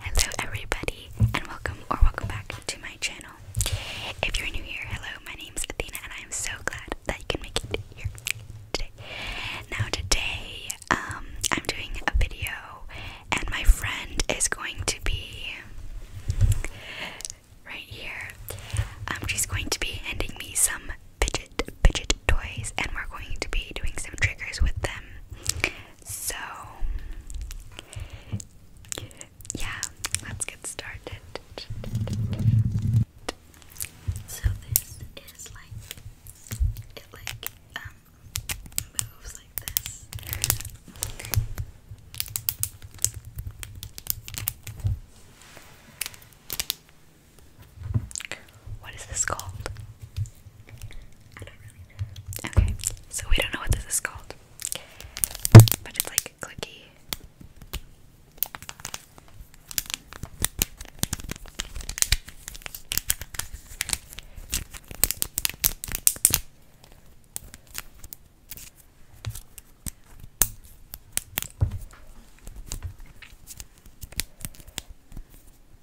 Hello everybody and welcome or welcome back to my channel. If you're new here, hello, my name is Athena and I am so glad that you can make it here today. Now today, um, I'm doing a video and my friend is going to be right here. Um, she's going to be handing me some fidget fidget toys and we're going to be doing some triggers with them. So, yeah, let's get started. So this is like it like um moves like this. What is this called? Okay, so we don't know what this is called. But it's like clicky.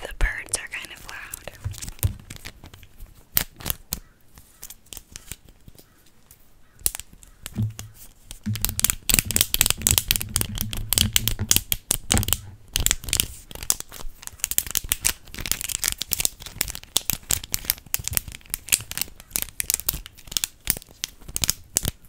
The birds are kind of loud.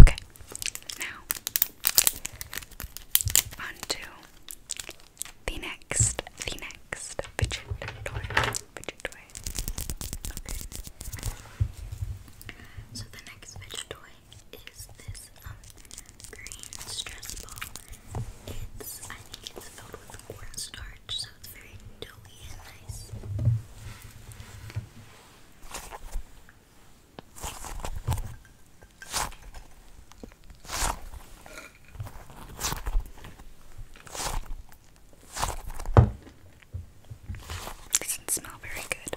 Okay, now onto the next, the next fidget toy, fidget toy. So the next fidget toy is this um, green stress ball. It's, I think it's filled with cornstarch, so it's very doughy and nice. Doesn't smell very good.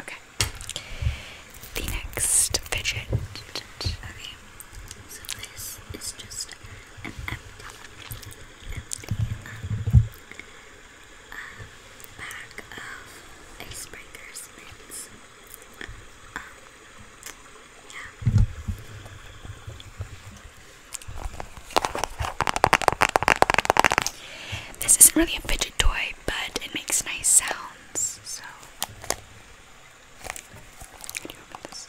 Okay. The next fidget. So this is just an empty, um, of icebreaker this isn't really a fidget toy, but it makes nice sounds, so. Can this?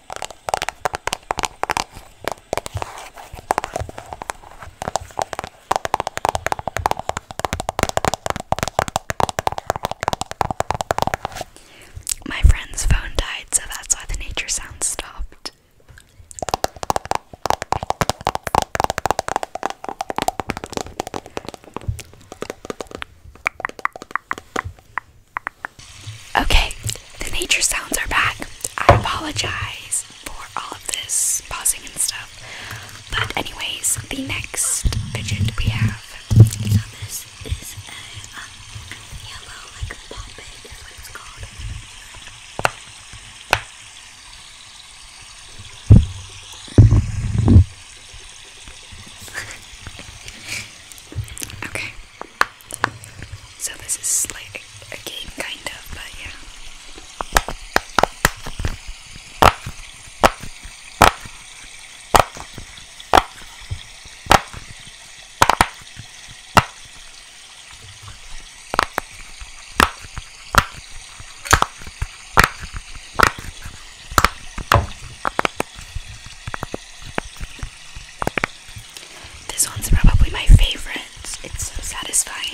My friend's phone died, so that's why the nature sounds stopped. Okay, the nature sounds are back. I apologize for all of this pausing and stuff. But anyways, the next fidget we have. So this is a um, yellow like poppet is what it's called. okay. So this is like a, game kind of, but yeah. This one's probably my favorite. It's so satisfying.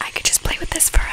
I could just play with this forever.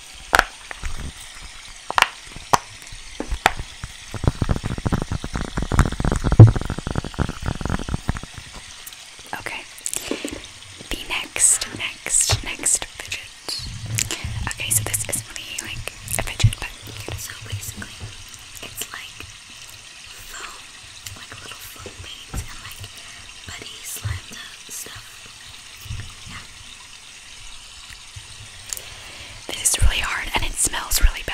Okay. The next, next, next fidget. Okay, so this is really like a fidget, but so basically, it's like foam, like little foam beads and like buddy slime stuff. Yeah. This is really hard and it smells really bad.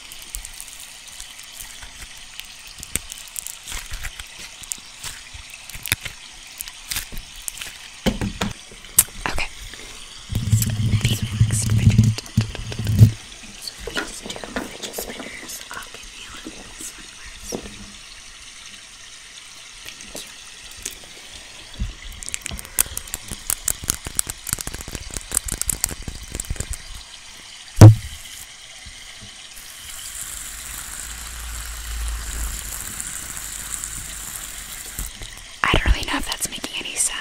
Okay. So the next fidget. So we just do fidget spinners. I'll give you one this one first. Thank you. I don't really know if that's making any sound.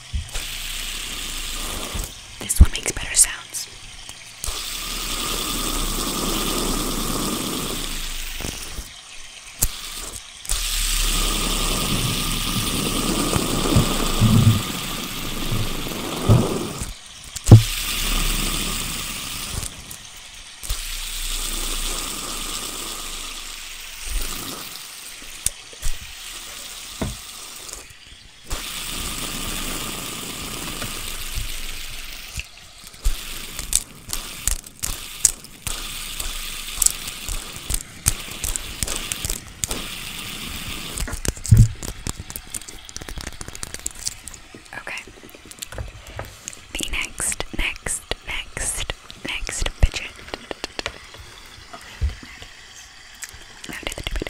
This one makes better sounds. Okay. The next, next, next Next, fidget. Now do the tomato. Now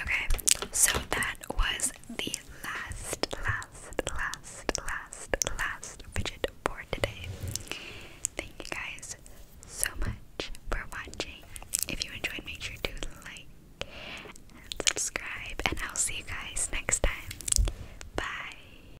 Okay, so that was the last, last, last, last, last fidget for today. Thank you guys so much for watching. If you enjoyed, make sure to like and subscribe, and I'll see you guys next time. Bye.